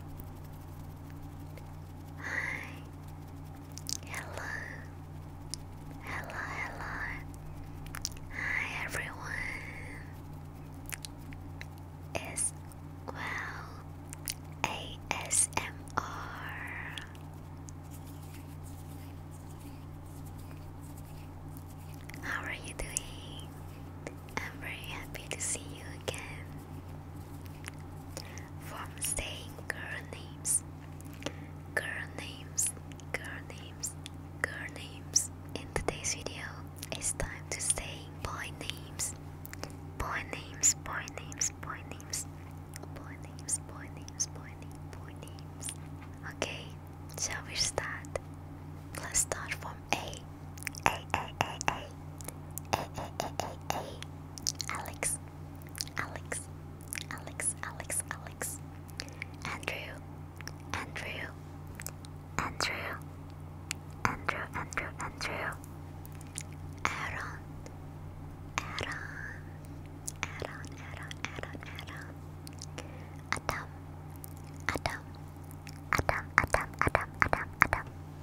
Hi. Hello. Hello, hello. Hi everyone. It's well ASMR. How are you doing? I'm very happy to see you again from saying girl names, girl names, girl names, girl names. In today's video, it's time to say boy names, boy names, boy names, boy names, boy names, boy names, boy names, boy names. Okay, shall we start? Let's start from a a a a a a a a a Alex, Alex, Alex, Alex, Alex, Andrew, Andrew, Andrew, Andrew, Andrew, Andrew, Aaron, Aaron, Aaron, Aaron, Aaron, Aaron, Adam, Adam, Adam, Adam, Adam, Adam, Adam.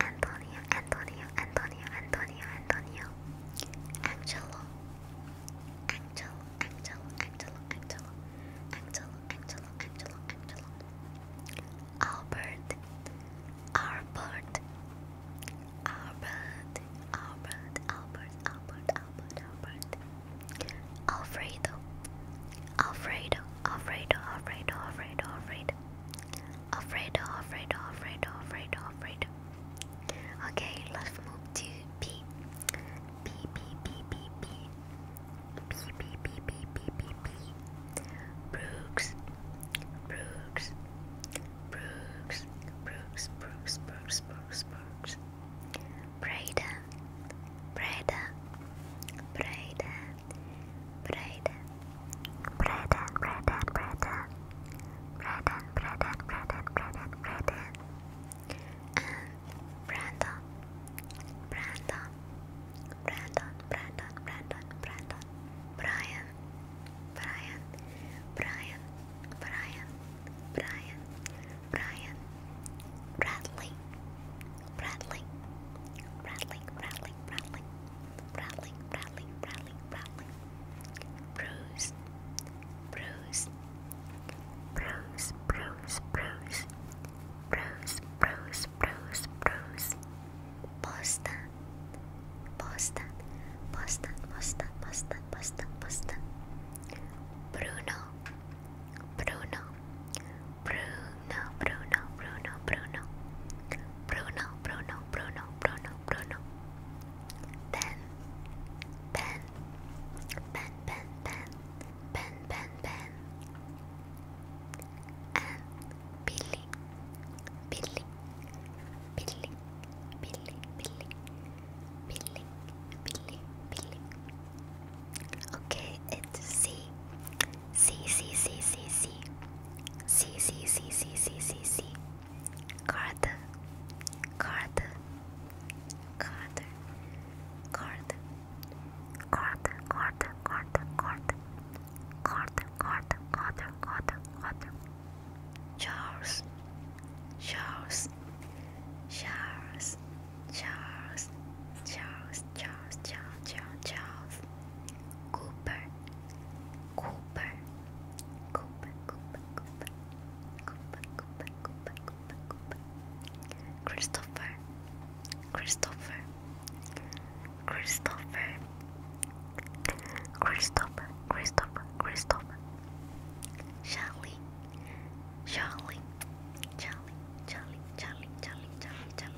Antonio, Antonio, Antonio, Antonio, Antonio, Angelo, Angelo, Angelo, Angelo, Angelo, Angelo, Angelo, Angelo, Angelo, Albert, Albert, Albert, Albert, Albert, Albert, Albert, Albert, Alfredo, Alfredo, Alfredo, Alfredo, Alfredo, Alfredo. Alfredo, Alfredo, Alfredo, Alfredo, Alfredo. Okay, let's move to B. B, B, B, B, B. B, B, B, B, B, B, B. Brooks, Brooks, Brooks, Brooks, Brooks, Brooks, Brooks, Brooks. Brayden, Brayden, Brayden, Brayden, Brayden, Brayden, Brayden, Brayden, Brayden, Brayden, Brayden, and Brandon, Brandon, Brandon, Brandon, Brandon, Brandon, Brian, Brian, Brian, Brian, Brian, Brian, Bradley, Bradley, Bradley, Bradley rattling, rattling, rattling, rattling, rattling, rattling. Bruise, bruise, bruise, bruise, bruise, bruise, bruise, bruise, bruise. Posta, posta, posta, posta, posta, posta, posta. Bruno, Bruno, Bruno, Bruno, Bruno, Bruno, Bruno, Bruno, Bruno, Bruno, Bruno. Ben, Ben, Ben, Ben, Ben, Ben, Ben, Ben. And Billy, Billy, Billy, Billy, Billy, Billy, Billy, Billy. Okay, it's C C C C C C C C C C C C C Card Card Card Card Card Card Card Card Card Card Card Card Card Charles Charles Charles Charles Charles Charles Charles Charles Charles Cooper, Cooper, Cooper, Cooper, Cooper, Cooper, Cooper, Cooper, Cooper, Cooper, Christopher, Christopher, Christopher, Christopher, Christopher, Christopher, Charlie, Charlie, Charlie, Charlie, Charlie, Charlie, Charlie, Charlie.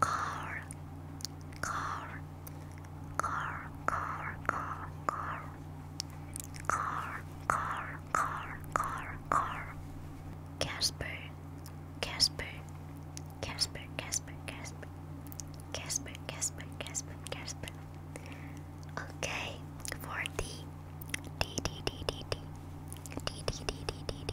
car, car, car, car, car, car, car, car, car, car, car, Casper, Casper, Casper, Casper, Casper, Casper, Casper, Casper, Casper. Okay, for D, D, D, D, D, D, D, D, D, D, D,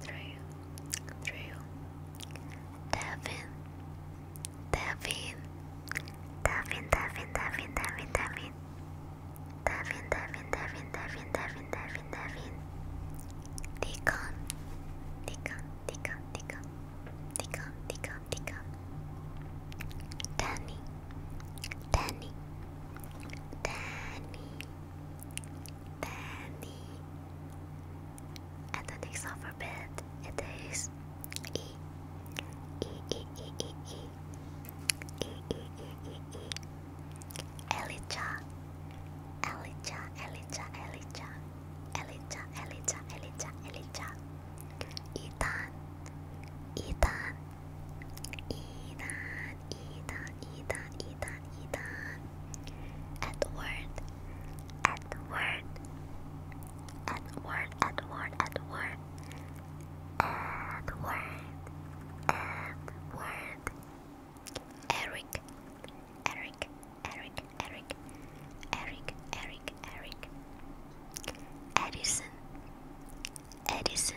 through, through. Devin, Devin, Devin, Devin, Devin, Devin, Devin, Devin, Devin, Devin, Devin, Devin, Devin, Devin. Deacon, Deacon, Deacon, Deacon, Deacon, Deacon, Deacon. Danny, Danny, Danny. Danny. And the next alphabet it is E. E E E E E E E E E E e e e e Elijah Elijah Elijah Elijah Elijah Elijah Elijah Elijah Ethan Ethan Ethan Ethan, Ethan, Ethan, Ethan. Edward, Edward, Edward, Edward, Edward, Edward, Edward. Eric, Eric, Eric, Eric, Eric, Eric, Eric. Edison, Edison,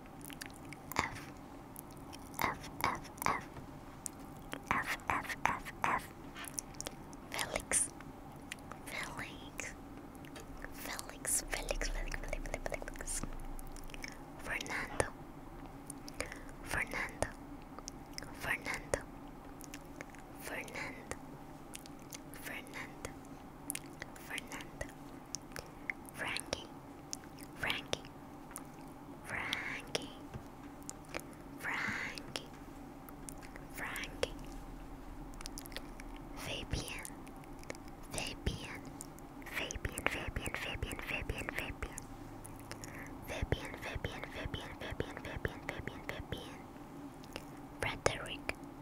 F F F F F F F F Felix Felix Felix Felix Felix Felix Felix Fernando Fernando Fernando Fernando Fernando Fernando Frankie, Frankie, Frankie, Frankie, Frankie, Fabian, Fabian, Fabian, Fabian, Fabian, Fabian, Fabian, Fabian, Fabian, Fabian, Fabian, Fabian, Fabian, Fabian, Frederick,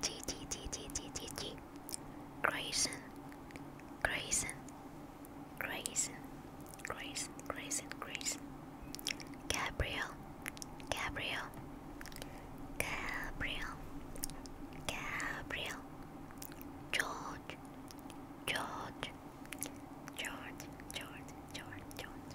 G G G G G G G Grayson Grayson Grayson Grayson Grayson Grayson Gabriel Gabriel Gabriel Gabriel George George George George George George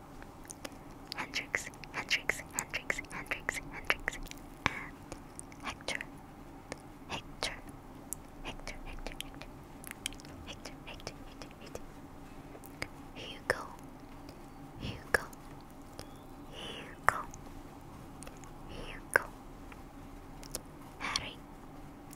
Hendrix, Hendrix, Hendrix, Hendrix, Hendrix, and Hector, Hector, Hector, Hector, Hector, Hector, Hector, Hector, Hector. Hugo, Hugo, Hugo, Hugo, Harry,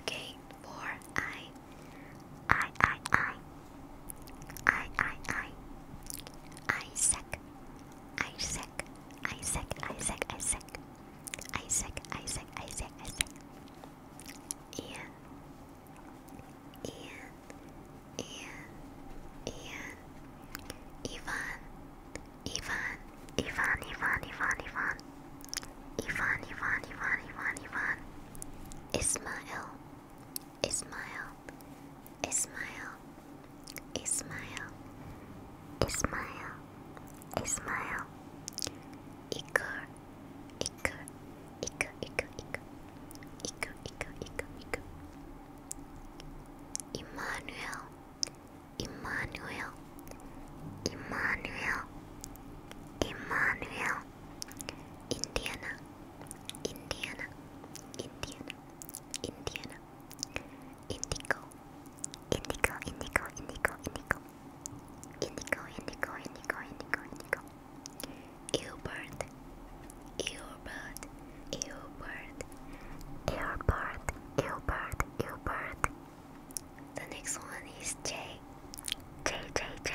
Okay, for I, I, I, I, I, I, I, Isaac, Isaac, Isaac, Isaac, Isaac, Isaac, Isaac, Isaac, Isaac, Ian, Ian, Ian, Ian, Ivan, Ivan, Ivan, Ivan, Ivan, Ivan. Ivan, Ivan, Ivan, Ivan, Ivan. Ismail, Ismail, Ismail, Ismail, Ismail, Ismail. Ikur, Ikur, Ikur, Ikur, Ikur, Ikur, Ikur, Ikur, Ikur. Emmanuel, Emmanuel, Emmanuel, Emmanuel, Indiana, Indiana, Indiana, Indiana, Indigo, Indigo, Indigo, Indigo, Indigo, Indigo, Indigo, Indigo, Indigo, Indigo, Airport, Airport, Airport, Airport, Airport, Airport. The next one is J. J J J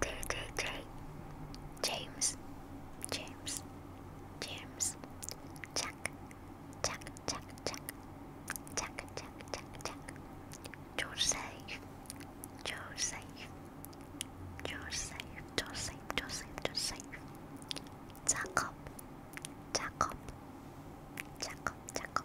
J J J James James James Jack Jack Jack Jack Jack Jack Jack Jack Joseph Joseph Joseph Joseph Joseph Joseph Jacob Jacob Jacob Jacob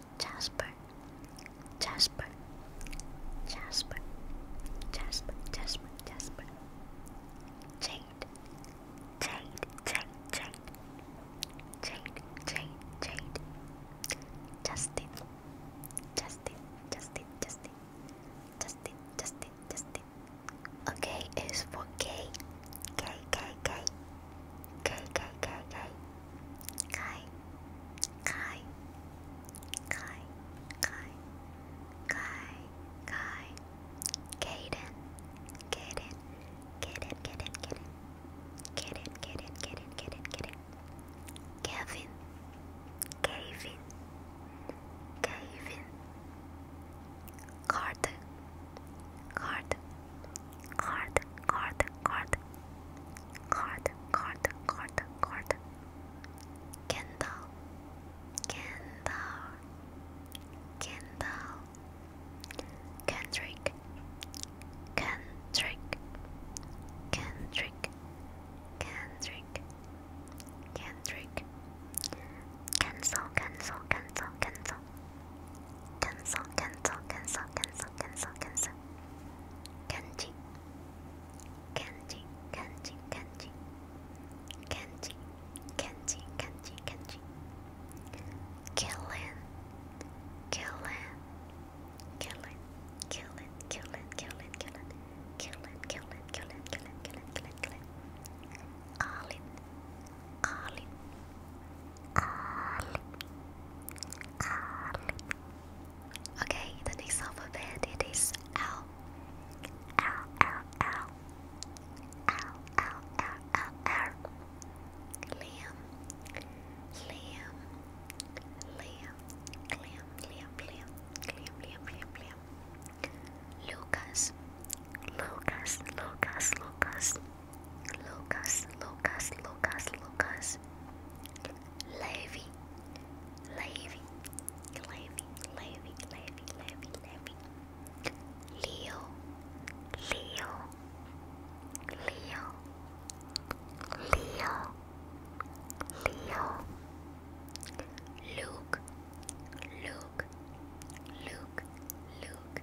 Jasper, Jasper, Jasper, Jasper, Jasper, Jasper, Jade, Jade, Jade, Jade, Jade, Jade, Jade, Justin, Justin, Justin, Justin, Justin, Justin, Justin. Okay, is for K, K, K, K. Go, go, go, go. Kai, Kai, Kai, Kai, Kai, Kai. Kaden, Kaden, Kaden, Kaden, Kaden. Kaden, Kaden, Kaden, Kaden, Kaden. Kevin, Kevin, Kevin. Carter, Carter. Carter, card, card, card, card, card, card, card, candle, candle, candle, Kendrick, Kendrick, Kendrick, Kendrick, Kendrick, cancel, cancel, cancel, cancel cancel, cancel, cancel, cancel, cancel, cancel. Kanji, kanji, kanji, kanji, kanji, kanji, kanji, kanji. Killing, killing, killing, killing, killing, killing, killing, killing, killing, killing, killing, killing, killing, killing. All in, all in. Okay, the next alphabet it is L. L L L L L L L Liam Liam Liam Liam Liam Liam Liam Liam Liam Liam Lucas Lucas Lucas Lucas Lucas, Lucas, Lucas, Lucas. Levy, Levy, Levy, Levy, Levy, Levy, Levy. Leo, Leo, Leo, Leo, Leo. Luke, Luke, Luke, Luke,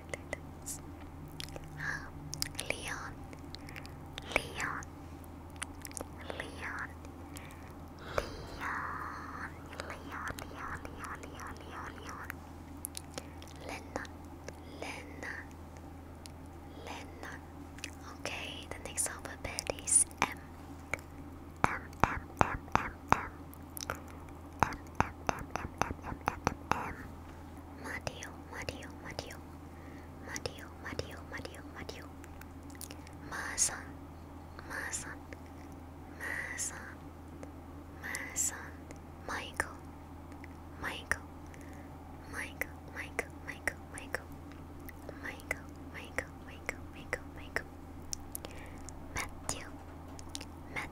Leon, Leon, Leon, Leon, Leon, Leon, Leon, Leon, Leon, Leon. Lennon, Lennon, Lennon. Okay, the next alphabet is M. M, M, M, M, M, um, um, um, um, um, um, um, um, Mateo, Mateo, Mateo, Mateo, Mateo, Mateo, Mateo. Mason, Mason, Mason, Mason, Michael, Michael, Michael, Michael, Michael, Michael, Michael, Michael, Michael, Michael, Michael. Matthew, Matthew,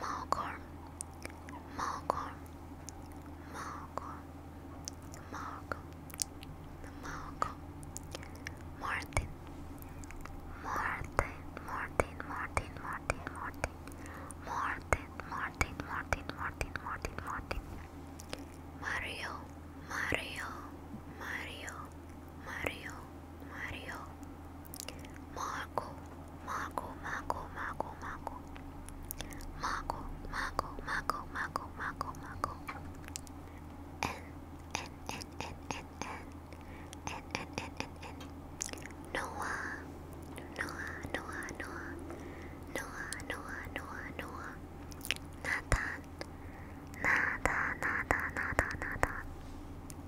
Malcolm, Malcolm, Malcolm, Malcolm, Malcolm, Martin, Martin, Martin, Martin, Martin, Martin, Martin, Martin, Martin, Martin, Martin, Martin, Mario, Mario, Mario, Mario. Mario, Marco, Marco, Marco, Marco, Marco, Marco, Marco, Marco, Marco, Marco, Marco, N, N, N, N, N, N, N, N, N, N, N, Noah, Noah, Noah, Noah, Noah, Noah, Noah, Noah, Nathan, Nathan, Nathan, Nathan, Nathan.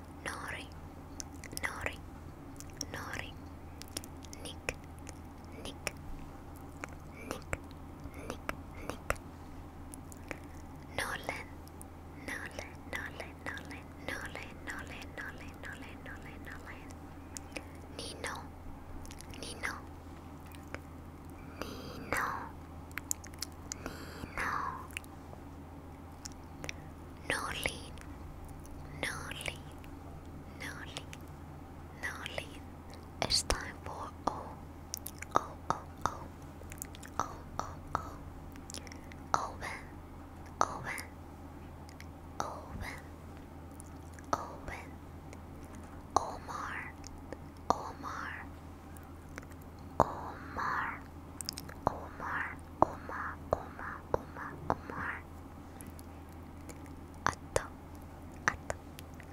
Nori, Nori, Nori, Nick, Nick, Nick, Nick, Nick, Nolan, Nolan, Nolan, Nolan, Nolan, Nolan, Nolan, Nolan, Nino, Nino, Nino, Nino. Norlene, Norlene, Norlene, Norlene. It's time for oh, oh, oh, oh, oh, oh, Owen, Owen, Owen, Owen, Omar, Omar, Omar, Omar, Omar, Omar, Omar, Omar. Ato, ato,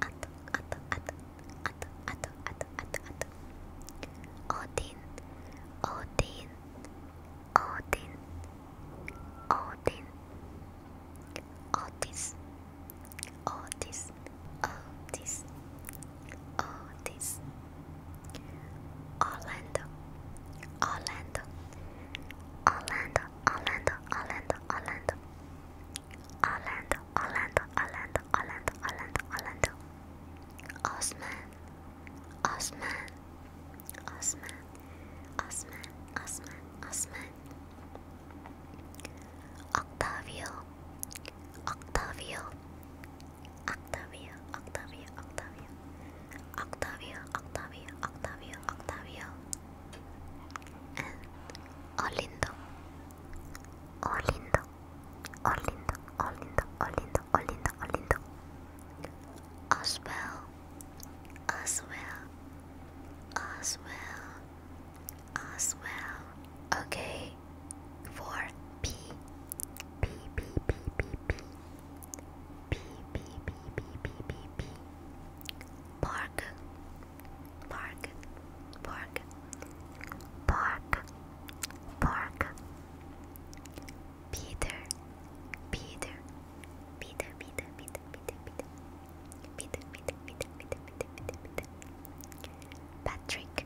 ato, ato, ato, ato, ato, ato, ato, ato. Odin, Odin, Odin, Odin. Otis, Otis, Otis, Oh, this Orlando, Orlando, Orlando, Orlando, Orlando, Orlando, Orlando, Orlando, Orlando, Orlando, Orlando, Orlando, Osman, Osman, Osman, Osman, Osman, Osman, Octavio, Octavio. Octavio, Octavio, Octavio, Octavio, Octavio, Octavio, Octavio, and Olindo, Olindo, Olindo, Olindo, Olindo, Olindo, Olindo, Oswell, Oswell, Oswell, Oswell. Okay, for P P P P P P P P P P P P P Park Park Park Park Park Peter Peter Peter Peter Peter Peter Peter Peter Peter Peter Peter Peter Peter Patrick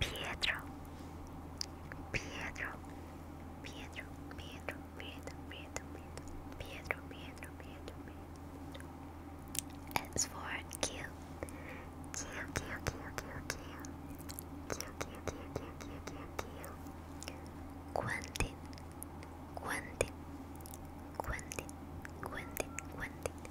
Pietro, Pietro, Pietro, Pietro, Pietro, Pietro, Pietro, Pietro, Pietro, Pietro. It's for Q. Q, Q, Q, Q, Q. Q, Q, Q, Q, Q, Q, Q. Quentin, Quentin, Quentin, Quentin, Quentin.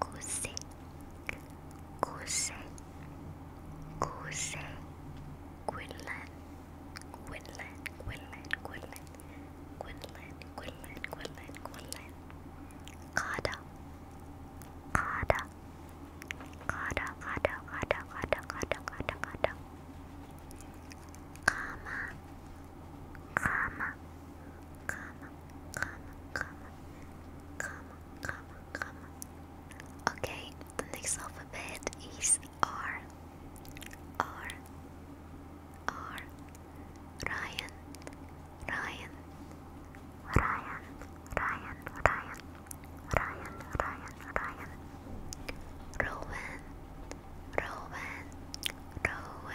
Kuse, Kuse, Kuse, Quinlan, Quinlan, Quinlan, Quinlan, Quinlan, Quinlan, Quinlan, Quinlan, Kada, Kada, Kada, Kada, Kada, Kada, Kada, Kada, Kada, Kama, Kama, Kama, comma, comma, comma, comma, comma. Okay, the next alphabet is R. R. R. Ryan. Ryan. Ryan. Ryan. Ryan. Ryan. Ryan. Ryan. Rowan. Rowan.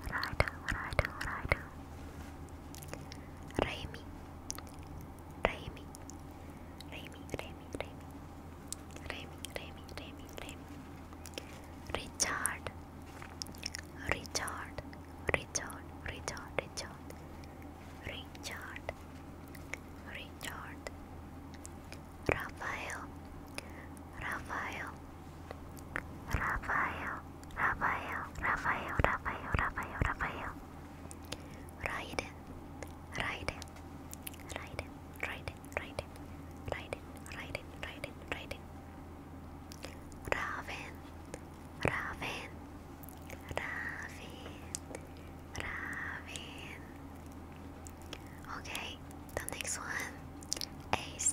What I do, what I do, what I do. Raimi. Raimi. Raimi, Raimi, Raimi. Raimi, Raimi, Raimi, Raimi. Richard. Richard. Richard. Richard. Richard. Richard. Richard. Raphael. Raphael. Rafael, Rafael, Rafael, Rafael, Rafael, Rafael. Raiden, Raiden, Raiden, Raiden, Raiden, Raiden, Raiden, Raiden, Raiden. Raven, Raven, Raven, Raven. Okay, the next one. Ace,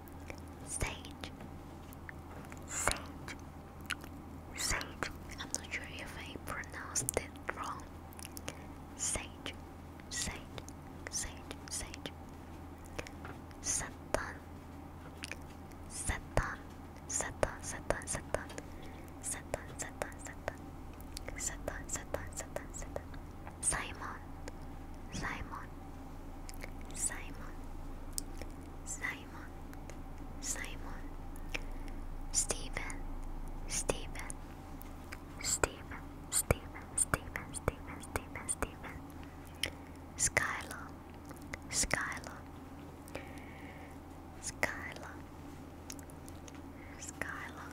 Sage. Sage. Sage. I'm not sure if I pronounced it wrong. Sage. Sage. Sage. Sage. Satan. Satan. Satan. Satan. Satan. Satan. Satan. Satan. Satan. Satan. Simon, Simon, Simon, Simon, Simon, Stephen, Stephen, Stephen, Stephen, Stephen, Stephen, Stephen, Stephen, Skyla, Skyla, Skyla, Skyla,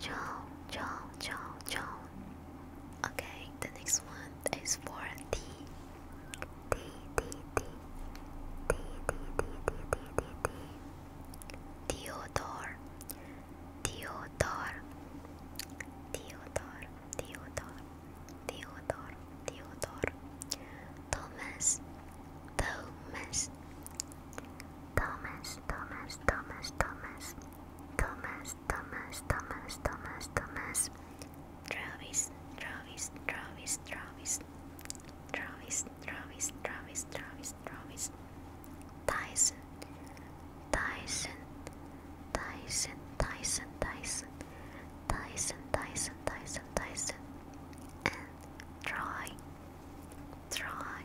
John, John, John, John. Okay, the next one is for T. T, T, T. T, T, T, T, T, T, T. Theodore. Theodore. Theodore. Theodore. Theodore. Theodore. Thomas. Thomas, Thomas, Thomas, Thomas, Thomas, Thomas, Thomas, Thomas, Thomas, Thomas, Travis, Travis, Travis, Travis, Travis, Travis, Travis, Travis, Travis, Tyson, Tyson, Tyson, Tyson, Tyson, Tyson, Tyson, Tyson, Tyson, and Troy, Troy,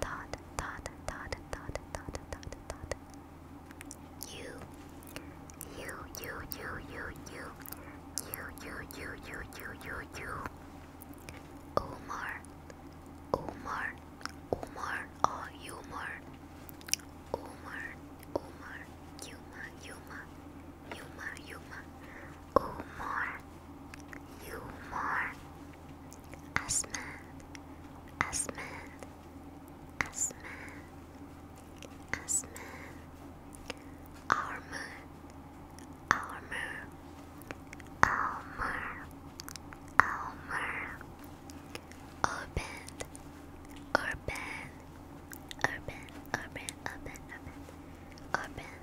dot dot dot dot dot dot dot you you you you you you you you you you you you you Omar Omar Omar oh Omar Omar Omar Yuma Yuma Yuma Yuma Umar, Umar, Asman, Asman, Asman, Asman, Armor, Armor, Almer, Almer, Urban, Urban, Urban, Urban, Urban, Urban, Urban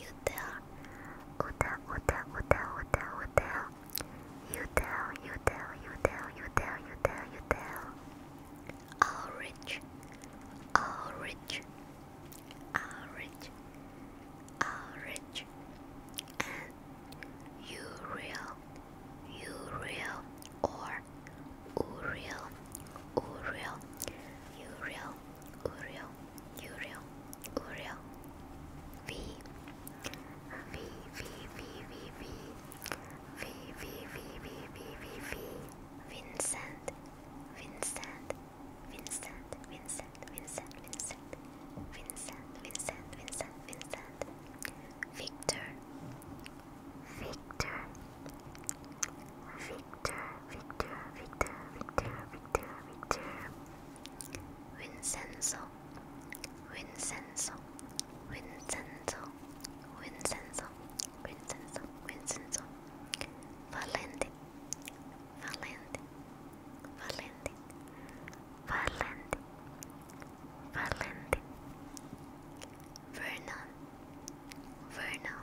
You tell. You tell, you tell, you tell, you tell, you tell. You tell, you tell, you tell, you tell, you tell, you tell. All rich. All rich. All rich. All rich. And you real. You real. Or. Uriel, Uriel, Uriel, Uriel, Uriel, Uriel, V, V, V, V, V, V, V, V, V, V, V, V, V, Vincent, Vincent, Vincent, Vincent, Vincent, Vincent, Vincent, Vincent, Vincent, Vincent, Victor, Victor, Victor. Victor, Victor, Victor, Victor, Victor, Vincenzo, Vincenzo, Vincenzo, Vincenzo, Vincenzo, Vincenzo, Valente, Valente, Valente, Valente, Valente, Vernon, Vernon.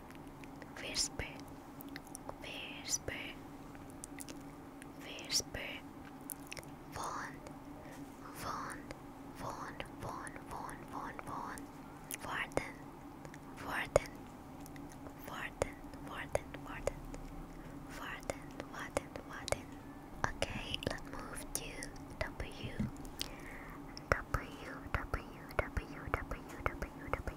whisper, whisper, whisper, phone, phone, phone, phone, phone, phone, phone, warden, warden, warden, warden, warden, warden, warden, Okay, let's move to W W W W W W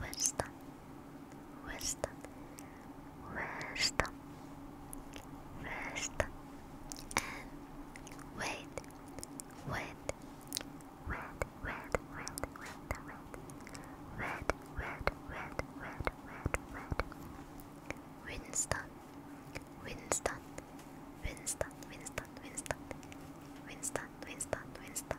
wisdom, wisdom, wisdom, wisdom, and wait, wait, red, red, red, red, red, red, red, red, red, red, Winston, Winston, Winston, Winston, Winston, Winston, Winston, Winston. Winston,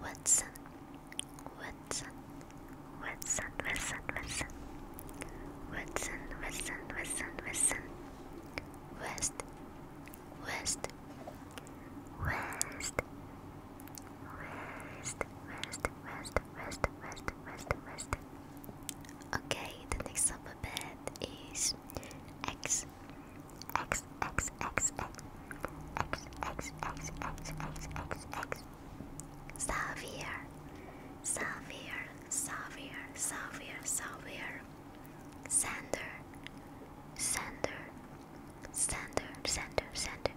Watson, Watson, Watson, Watson, Watson, Watson, Watson, Watson, Watson, West, West, West, West, West, West, West, West, West, West. Okay, the next alphabet is X. X X X X X X X X X X X Xavier Xavier Xavier Xavier Xavier Sander Sander Sander Sander Sander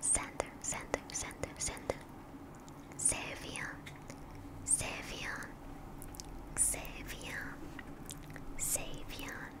Sander Sander Sander Sander Savion Savion Savion Savion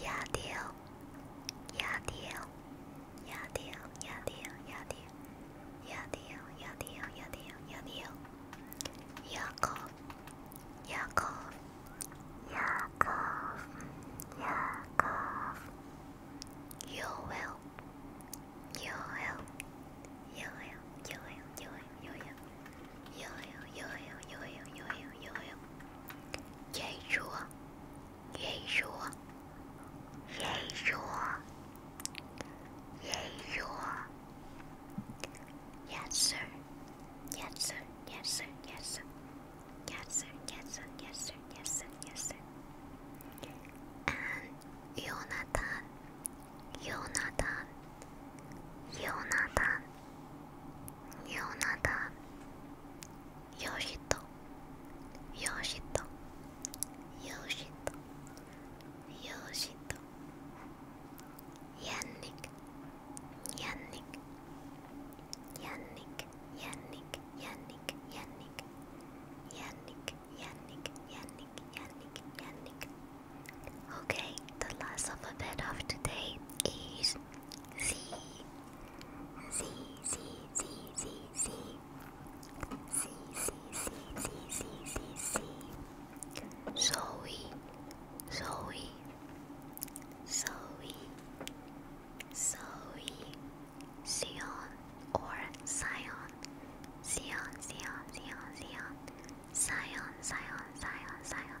Yeah, deal. Yeah, deal. Yeah, deal. Yeah, deal. Yeah, deal. Yeah, deal. Yeah, deal. Yeah, deal. Yeah, deal. Yakov. Yakov. Yakov. Yakov. You will. You will. You will. You will. You will yo yo yo yo yo yo yo yo Yeshua Yeshua Yeshua Yeshua Yes sir Yes sir Yes sir Yes sir Yes sir Yes sir Yes sir Yes sir Yes sir and Jonathan Jonathan Jonathan, Jonathan, Yoshito, Yoshito, Yoshito, Yoshito, Yannick, Yannick, Yannick, Yannick, Yannick, Yannick, Yannick, Yannick, Yannick, Yannick, Yannick. Okay, the last alphabet of today is Z Z Z Z Z Z C C C C C C C Zoe Zoe Zoe Zoe Sion or Sion Sion Sion Sion Sion Sion Sion Sion Sion Sion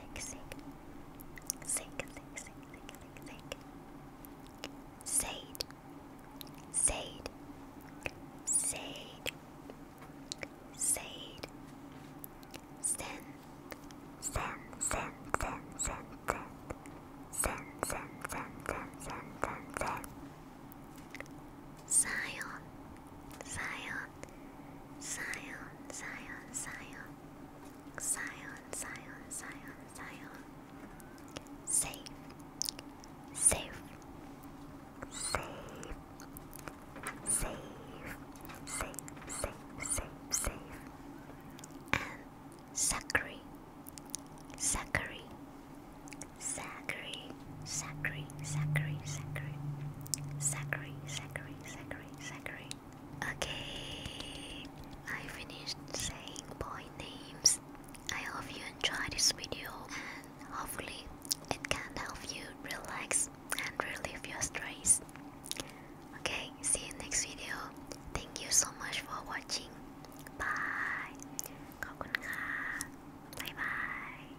sick, sick, sick, sick, sick, sick, sick, Sade, Sade, Sade, Sade, Sen, Sen, Sen, Sen, Sen, Sen, Sen, Sen, Sen, Sen, Sen, Sen, Sen, Zion, Zion. Zion, Zion, Zion, Zion, Zion, Zion, Zion. Safe, safe, safe, safe, safe, safe, safe, safe. And Zachary, Zachary, Zachary, Zachary, Zachary, Zachary, Zachary, Zachary, Zachary saccharine, Okay, I finished saying boy names. I hope you enjoyed this video and hopefully it can help you relax and relieve your stress. Okay, see you next video. Thank you so much for watching. Bye. ขอบคุณค่ะ Bye bye.